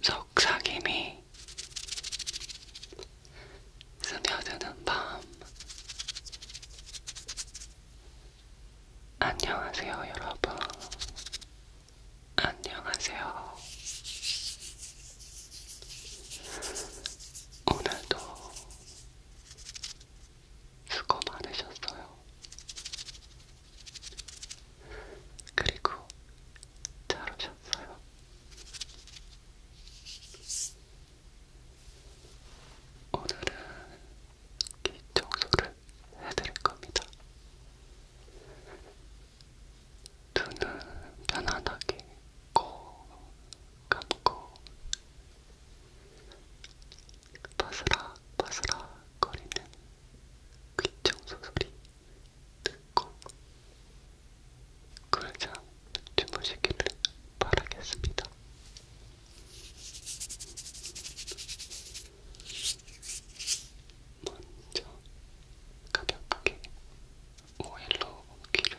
속삭임이 스며드는 밤 안녕하세요 여러분 안녕하세요 오늘도 수고 많으셨어요. 그리고 잘 오셨어요. 오늘은 귀 청소를 해드릴 겁니다. 눈은 편안하게 꼭 감고 바스락 바스락 거리는 귀청소 소리 듣고 그잠 주무시기를 바라겠습니다. 먼저 가볍게 오일로 귀를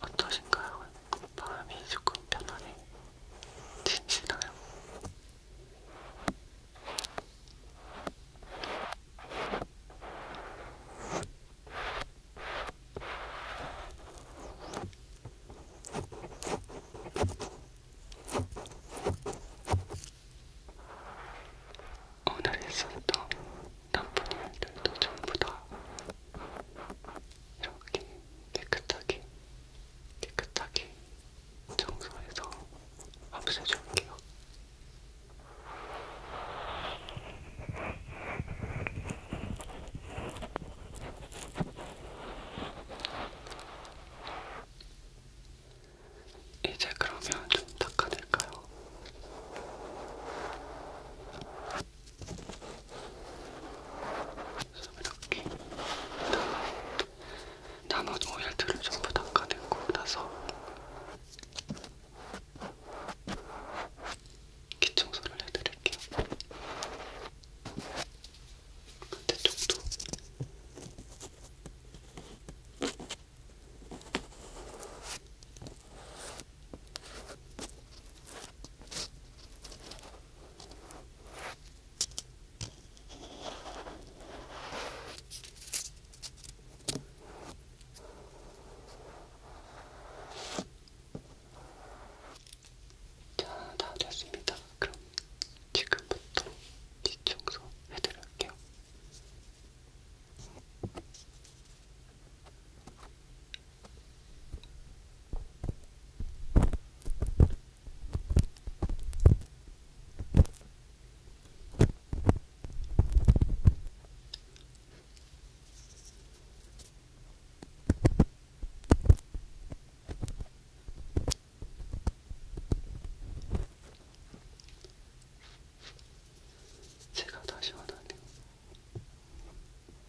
어떠신가요? 마음이 조금 편안해지시나요? 오늘 있었던 나쁜 일들도 전부 다 이렇게 깨끗하게 깨끗하게 청소해서 없애줄게요. 이제 그러면 좀 닦아낼까요? 그래서 이렇게 나머지 오일들을 전부 닦아내고 나서 기청소를 해드릴게요. 반대쪽도 자, 다 됐습니다. 그럼 지금부터 뒷청소 해드릴게요. 제가 다시 원하네요.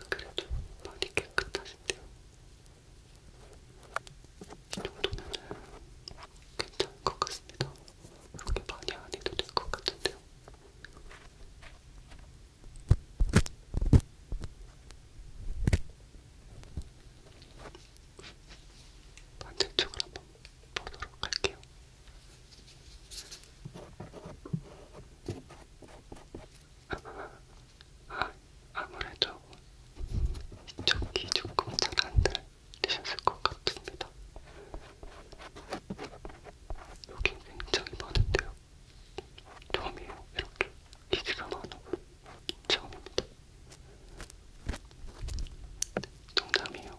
그래도 많이 깨끗하신데요. 이 정도면은 괜찮을 것 같습니다. 그렇게 많이 안 해도 될 것 같은데요. 반대쪽을 한번 보도록 할게요. 아무래도 이쪽 귀 조금 잘안 들리셨을 것 같습니다. 여긴 굉장히 많은데요. 처음이에요. 이렇게 기지가 많아고 처음입니다. 네, 농담이에요.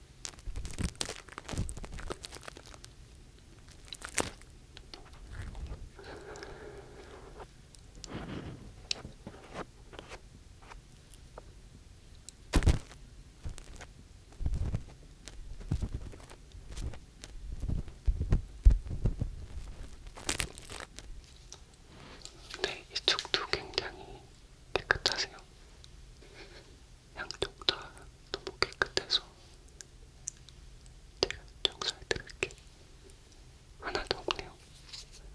네, 이쪽도 굉장히 깨끗하세요. 양쪽 다 너무 깨끗해서 제가 정살드릴게 하나도 없네요. 살짝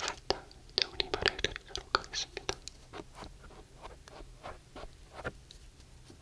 살짝 정리를 해드리도록 하겠습니다.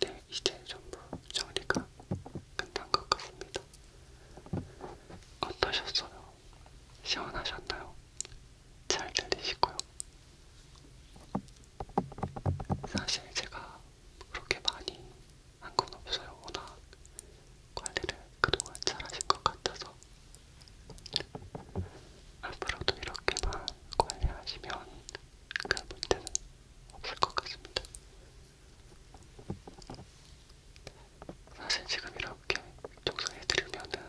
네, 이제 전부 정리가 끝난 것 같습니다. 어떠셨어요? 시원하셨나요? 잘 들리시고요. 사실 제가 그렇게 많이 한 건 없어요. 워낙 관리를 그동안 잘하신 것 같아서 앞으로도 이렇게만 관리하시면 그 문제는 없을 것 같습니다. 사실 지금 이렇게 조사해드리면은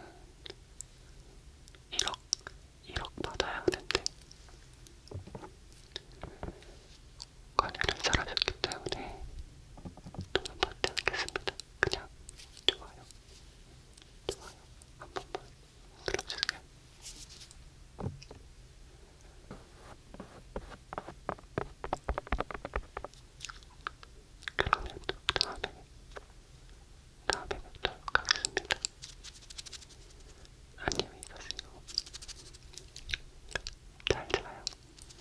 1억, 1억 받아야 하는데 관리를 잘하셨기 때문에 돈은 받지 않겠습니다. 그냥 좋아요, 좋아요 한 번만 눌러주세요. 그러면 다음에 다음에 뵙도록 하겠습니다. 안녕히 가세요. 잘 자요.